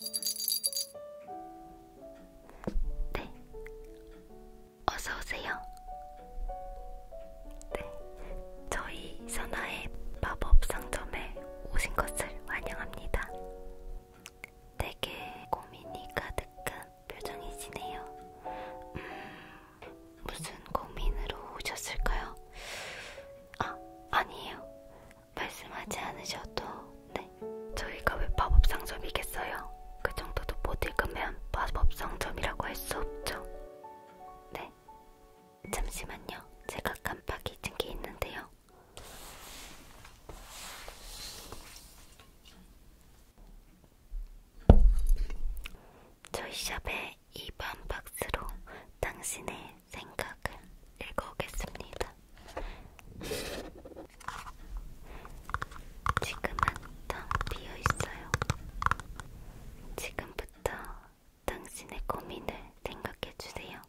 네, 어서 오세요. 네, 저희 선화의 마법 상점에 오신 것을 환영합니다. 되게 고민이 가득한 표정이시네요. 음, 무슨 고민으로 오셨을까요? 아, 아니에요. 말씀하지 않으셔도, 네. 저희가 왜 마법 상점이겠어요? 그 정도도 못 읽으면 마법 상점이라고 할 수 없죠. 네, 있는데 잠시만요. 제가 깜빡 잊은 게 있는데요. 저희 샵의 2번 박스로 당신의 생각을 읽어오겠습니다. 지금은 텅 비어있어요. 지금부터 당신의 고민을 생각해 주세요.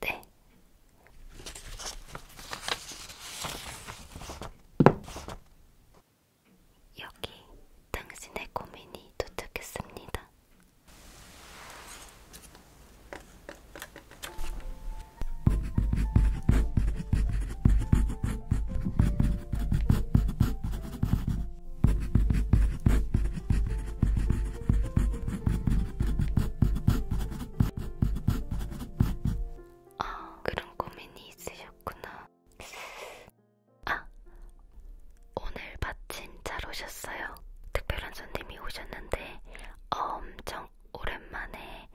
네. 여기 당신의 고민이 도착했습니다. 아, 그런 고민이 있으셨구나. 아, 오늘 마침 잘 오셨어요. 특별한 손님이 오셨는데 엄청 오랜만에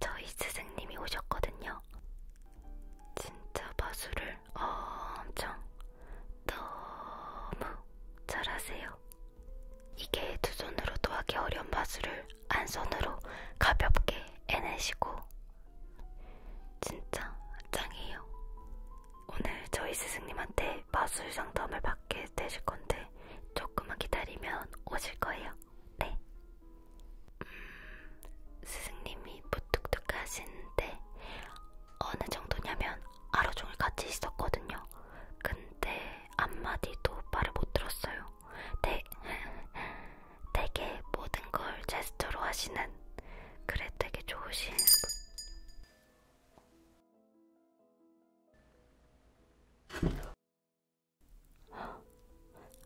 저희 스승님이 오셨거든요. 진짜 마술을 엄청 너무 잘하세요. 이게 두 손으로도 하기 어려운 마술을 한 손으로 가볍게 해내시고 진짜 짱이에요. 오늘 저희 스승님한테 마술 상담을 받게 되실 건데 조금만 기다리면 오실 거예요. 네. 음, 스승님이 무뚝뚝하신데 어느 정도냐면 하루 종일 같이 있었거든요. 근데 한마디도 말을 못 들었어요. 네. 되게 모든 걸 제스처로 하시는 그래 되게 좋으신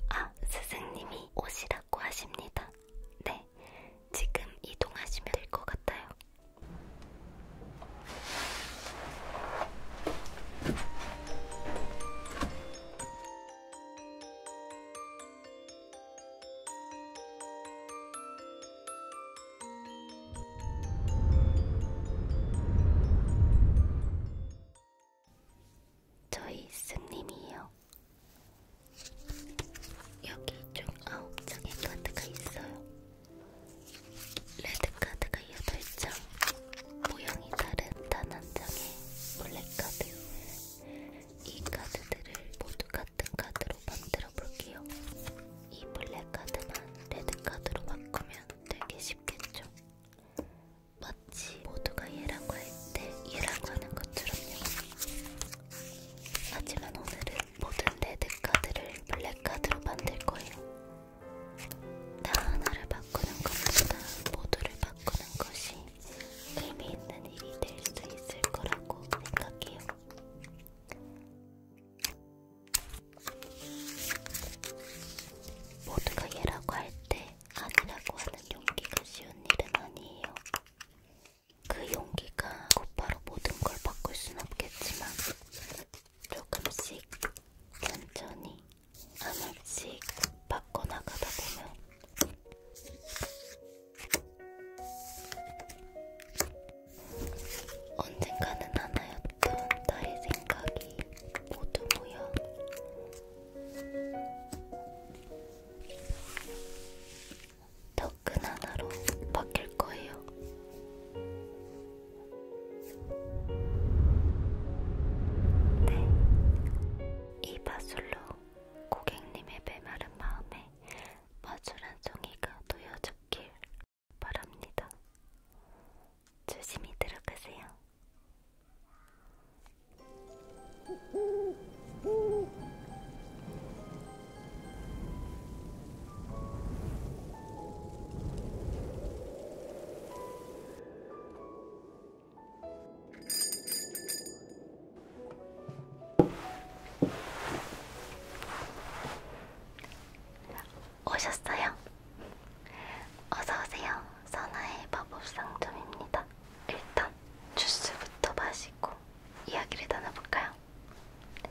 아 스승님이 오시라고 하십니다. 네 지금 이동하시면 될 것 같아요. 저희 스님이요. 여기 총 아홉 장의 카드가 있어요. 레드 카드가 여덟 장, 모양이 다른 단 한 장의 블랙 카드, 이 카드들을 모두 같은 카드로 만들어 볼게요. 이 블랙 카드만 레드 카드로 바꾸면 되게 쉽겠죠? 마치 모두가 얘라고 할 때 얘라고 하는 것처럼요. 하지만 오늘은 모든 레드 카드를 블랙 카드로 만들 거예요. 다 하나를 바꾸는 것보다 모두를 바꾸는 것이 재미있는 일이 될 수 있을 거라고 생각해요. 모두가 예라고 할 때 아니라고 하는 용기가 쉬운 일은 아니에요. 그 용기가 곧바로 모든 걸 바꿀 순 없겠지만 조금씩 천천히 하나씩 바꿔나가다 보면 언젠가는 하나였던 나의 생각이 모두 모여 더 큰 하나로 바뀔 거예요. 네, 이 바술로 고객님의 메마른 마음에 마주란 송이가 놓여졌길 바랍니다. 조심히 들어가세요. 오셨어요? 어서오세요. 선화의 마법상점입니다. 일단 주스부터 마시고 이야기를 나눠볼까요? 네.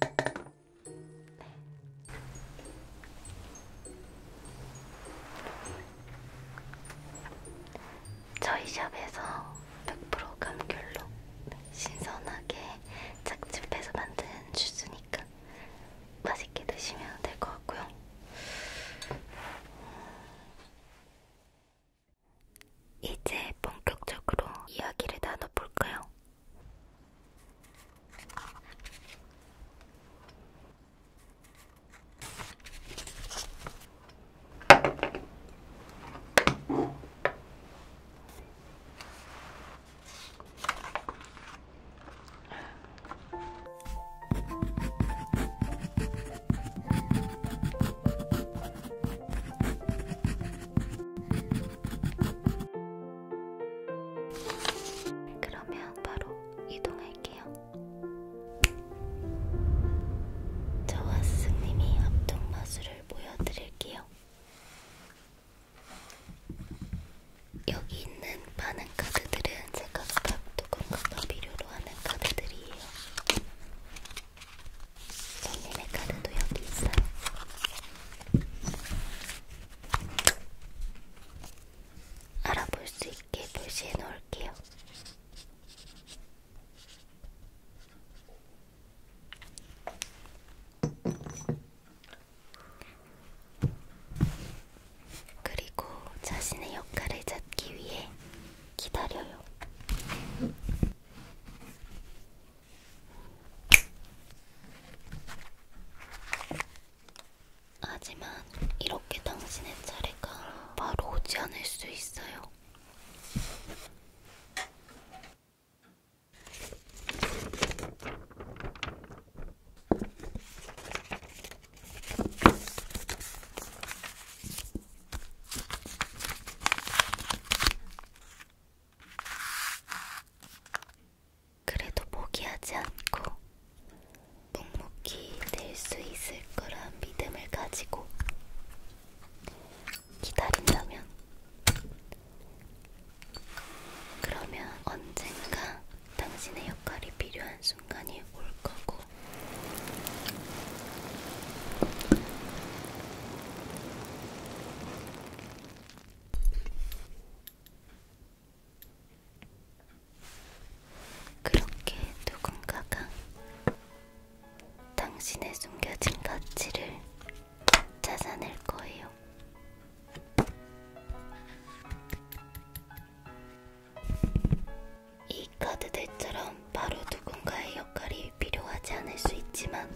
네. 저희 샵에서 100% 감귤로 신선하게 짝집에서 만든 주스니까 맛있게 드시면 될 것 같고요. 이제 본격적으로 이야기를 나눠볼까요? 그러면 바로 이동할게요. 저와 스승님이 합동 마술을 보여드릴게요. 여기 있는 많은 카드들은 제가 각각 누군가가 필요로 하는 카드들이에요. 손님의 카드도 여기 있어요. 알아볼 수 있게 표시해 놓을게요. 그리고 자신의 역할을 찾기 위해 기다려요. 하지만 이렇게 당신의 차례가 바로 오지 않을 수 있어요. 그래도 포기하지 않고 묵묵히 될 수 있을 거란 믿음을 가지고 기다린다면 그러면 언젠가 당신의 역할이 필요한 순간이 올 거고 그렇게 누군가가 당신의 숨겨진 가치를 찾아낼 거예요. 이 카드 대처럼 바로 누군가의 역할이 필요하지 않을 수 있지만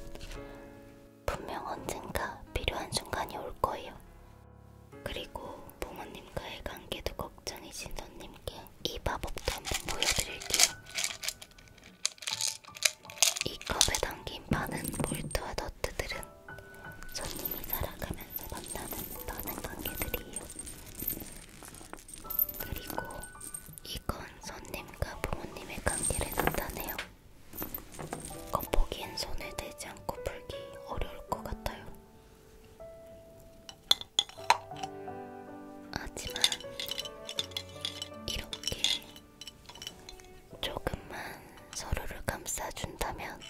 분명 언젠가 필요한 순간이 올 거예요. 그리고 부모님과의 관계도 걱정이신 손님께 이 마법도 한번 보여드릴게요. 이 컵에 담긴 많은 볼트와 너트들은 손님이 살아가면서 만나는 많은 관계들이에요. 그리고 이건 손님과 부모님의 관계를 나타내요. 겉보기엔 손을 대지 않고 풀기 어려울 것 같아요. 하지만 이렇게 조금만 서로를 감싸준다면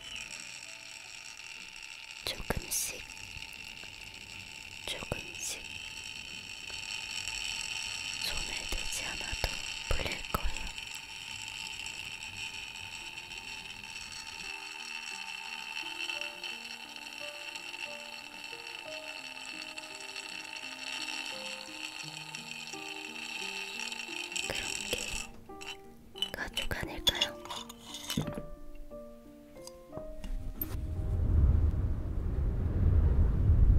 조금씩 조금씩 손에 대지 않아도 풀릴 거예요. 그런 게 가족 아닐까요?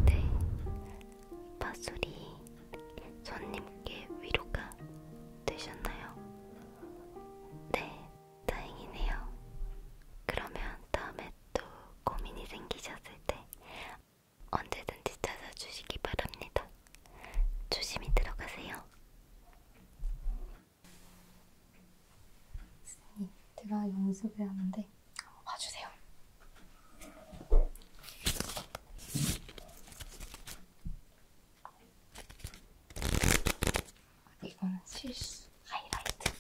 네, 파솔이 손님께 위로가 되셨나요? 네, 다행이네요. 그러면 다음에 또 고민이 생기셨을 때 언제든지 찾아주시기 바랍니다. 조심히 들어가세요. 이들아 연습을 하는데 한번 봐주세요. 이거는 실수 하이라이트.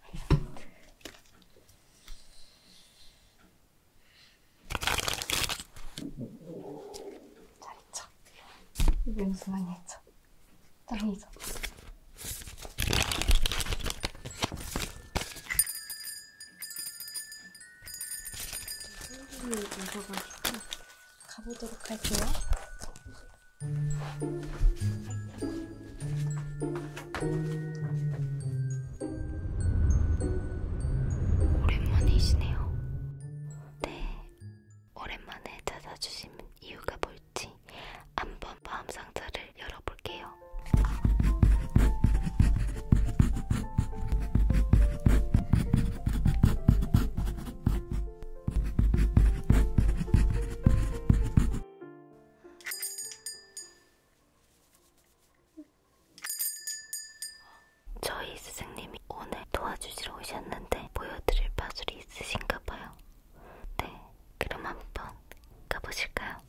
하이라이트. 잘했죠? 이건 무슨 많이 했죠? 짱이죠. 손님이 오셔가지고 가보도록 할게요. 오랜만이시네요. 네, 오랜만에 찾아주신 이유가 뭘까요? 있지. 한번 마음 상자를 열어볼게요. 저희 스승님이 오늘 도와주시러 오셨는데 보여드릴 파술이 있으신가 봐요. 네, 그럼 한번 가보실까요?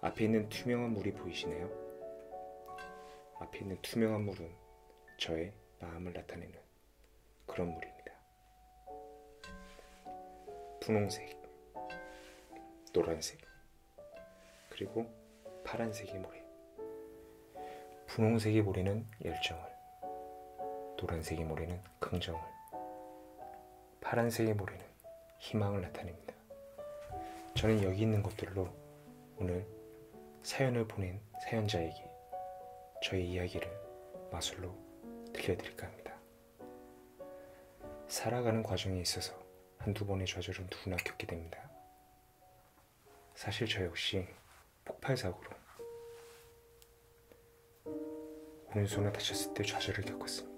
앞에 있는 투명한 물이 보이시네요. 앞에 있는 투명한 물은 저의 마음을 나타내는 그런 물입니다. 분홍색, 노란색, 그리고 파란색의 모래. 분홍색의 모래는 열정을, 노란색의 모래는 긍정을, 파란색의 모래는 희망을 나타냅니다. 저는 여기 있는 것들로 오늘 사연을 보낸 있는 사연자에게 저의 이야기를 마술로 들려드릴까 합니다. 살아가는 과정에 있어서 한 두 번의 좌절은 누구나 겪게 됩니다. 사실 저 역시 폭발사고로 오른손을 다쳤을 때 좌절을 겪었습니다.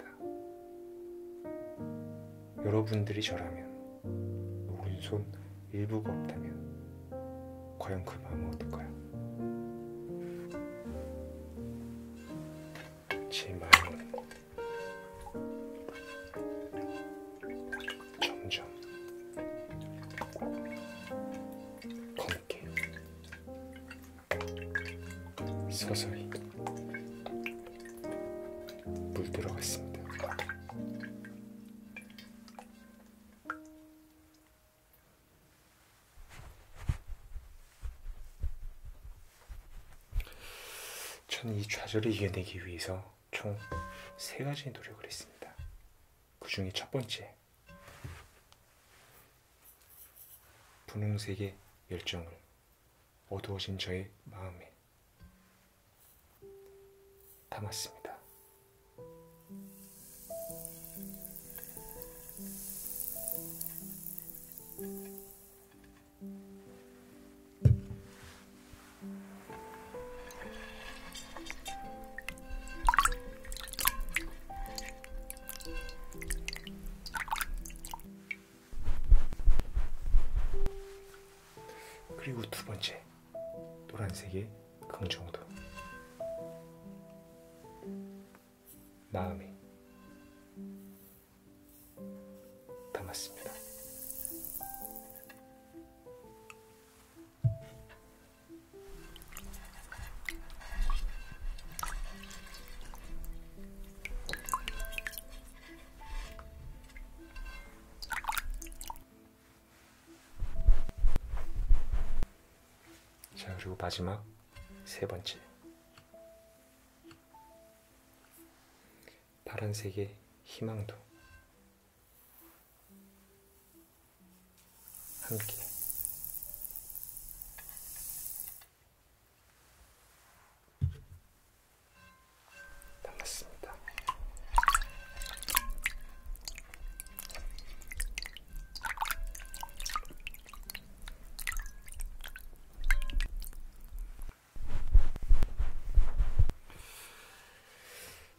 여러분들이 저라면 오른손 일부가 없다면 과연 그 마음은 어떨까요? 제 마음은 점점 검게 서서히 물들어갔습니다. 저는 이 좌절을 이겨내기 위해서 총 세 가지 노력을 했습니다. 그 중에 첫 번째, 분홍색의 열정을 어두워진 저의 마음에 담았습니다. 그리고 두 번째 노란색의 강정도 마음이 담았습니다. 자, 그리고 마지막 세 번째. 파란색의 희망도 함께 담았습니다.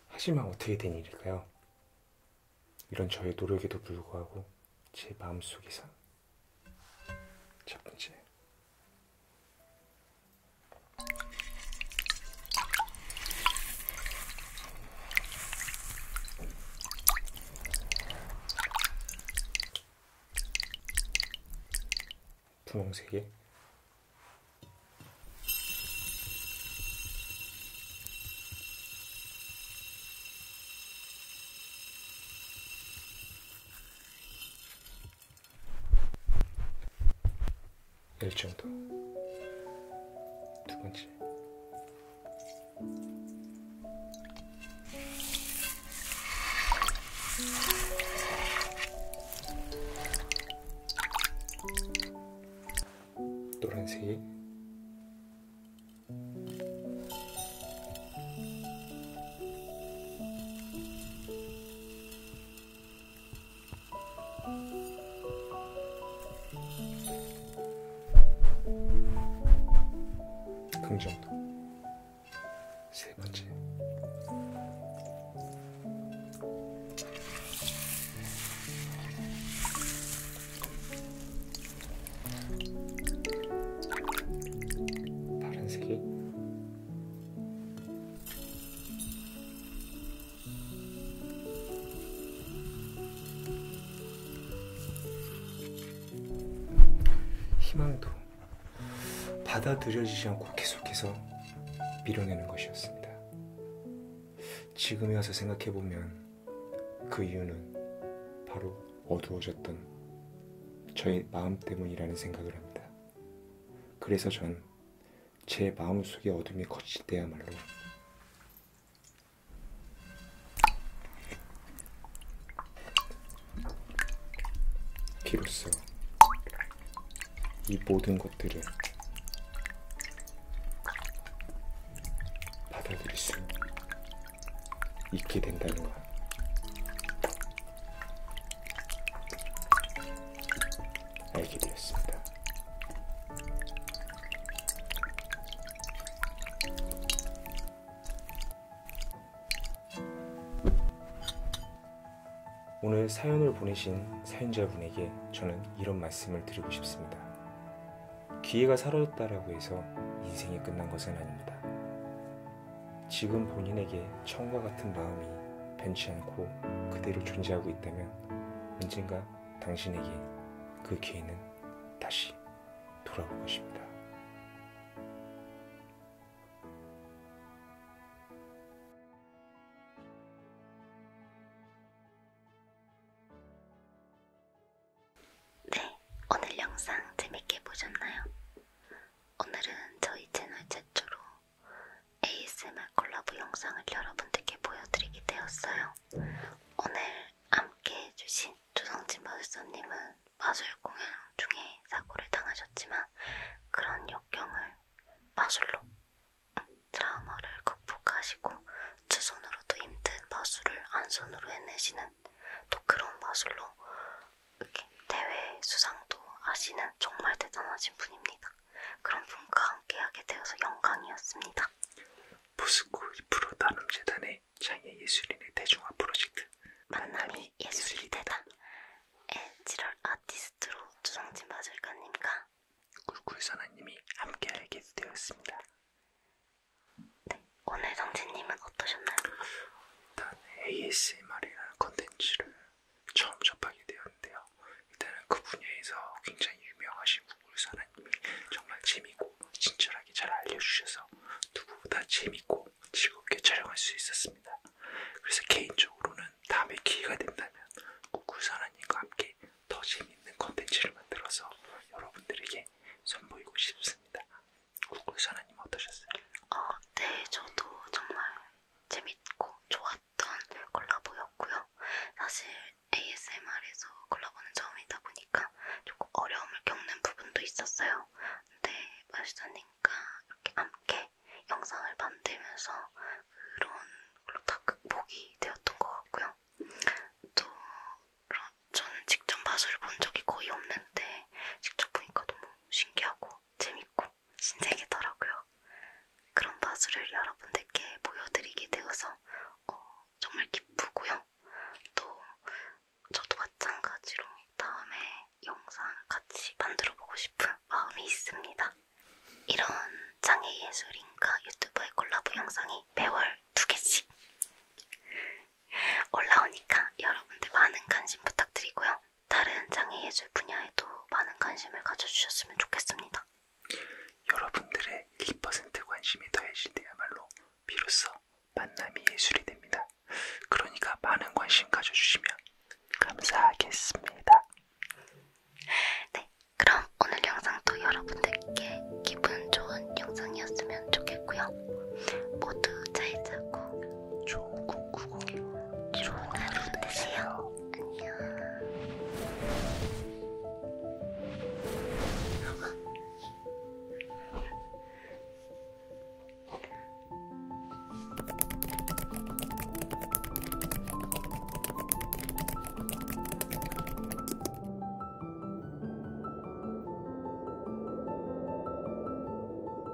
하지만 어떻게 된 일일까요? 이런 저의 노력에도 불구하고 제 마음속에선 첫 번째 분홍색에 열정도 두 번째 노란색이 긍정도 세 번째 파란색이 희망도 받아들여지지 않고 계속해서 밀어내는 것이었습니다. 지금에 와서 생각해보면 그 이유는 바로 어두워졌던 저의 마음 때문이라는 생각을 합니다. 그래서 전제 마음속의 어둠이 거칠 때야말로 비로소 이 모든 것들을 받아들일 수 있게 된다는 거야. 알게 되었습니다. 오늘 사연을 보내신 사연자분에게 저는 이런 말씀을 드리고 싶습니다. 기회가 사라졌다라고 해서 인생이 끝난 것은 아닙니다. 지금 본인에게 처음과 같은 마음이 변치 않고 그대로 존재하고 있다면 언젠가 당신에게 그 기회는 다시 돌아올 것입니다. 네, 오늘 영상 재밌게 보셨나요? 오늘은 저희 채널 최초로 ASMR 콜라보 영상을 여러분들께 보여드리게 되었어요. 오늘 함께 해주신 조성진 마술사님은 마술 공연 중에 사고를 당하셨지만 그런 역경을 마술로 트라우마를 음, 극복하시고 두 손으로도 힘든 마술을 한 손으로 해내시는 또 그런 마술로 이렇게 대회 수상도 하시는 정말 대단하신 분입니다. 그런 분과 함께하게 되어서 영광이었습니다. 포스코 2% 나눔재단의 장애 예술인의 대중화 프로젝트 만남이 예술이 되다 에 7월 아티스트로 조성진 마술가님과 꿀꿀선아님이 함께 알게 되었습니다. 네, 오늘 성진님은 어떠셨나요? 일단 ASMR이라는 컨텐츠를 처음 접하게 되었는데요. 일단은 그 분야에서 굉장히 유명하신 무물사나님이 정말 재밌고 친절하게 잘 알려주셔서 누구보다 재밌고 즐겁게 촬영할 수 있었습니다. 그래서 개인적으로는 다음에 기회가 된다면 구구사나님과 함께 더 재밌는 컨텐츠를 만들어서 여러분들에게 선보이고 싶습니다. 구구사나님 어떠셨어요? 어, 네, 저도 정말 재밌고 좋았 했던 콜라보였고요. 사실 ASMR에서 콜라보는 처음이다 보니까 조금 어려움을 겪는 부분도 있었어요. 근데 마시자님과 이렇게 함께 영상을 만들면서 그런 걸로 다 극복이 되었던 것 같고요. 또 저는 직접 마술을 본 적이 거의 없는데 직접 보니까 너무 신기하고 재밌고 신세계더라고요. 그런 바주를 여러분들께 보여드리게 되어서 어, 정말 기쁘고요. 또 저도 마찬가지로 다음에 영상 같이 만들어 보고 싶은 마음이 있습니다. 이런 장애 예술인과 유튜버의 콜라보 영상이 매월 두 개씩 올라오니까 여러분들 많은 관심 부탁드리고요. 다른 장애 예술 분야에도 많은 관심을 가져주셨으면 좋겠습니다. 여러분들의 1% 관심이 더해질 때야말로 비로소 만남이 예술이 됩니다. 그러니까 많은 관심 가져주시면 감사하겠습니다. 네, 그럼 오늘 영상도 여러분들께 기분 좋은 영상이었으면 좋겠고요. 모두 잘 자고 좋은 꿈꾸고 좋은 하루 되세요. 안녕.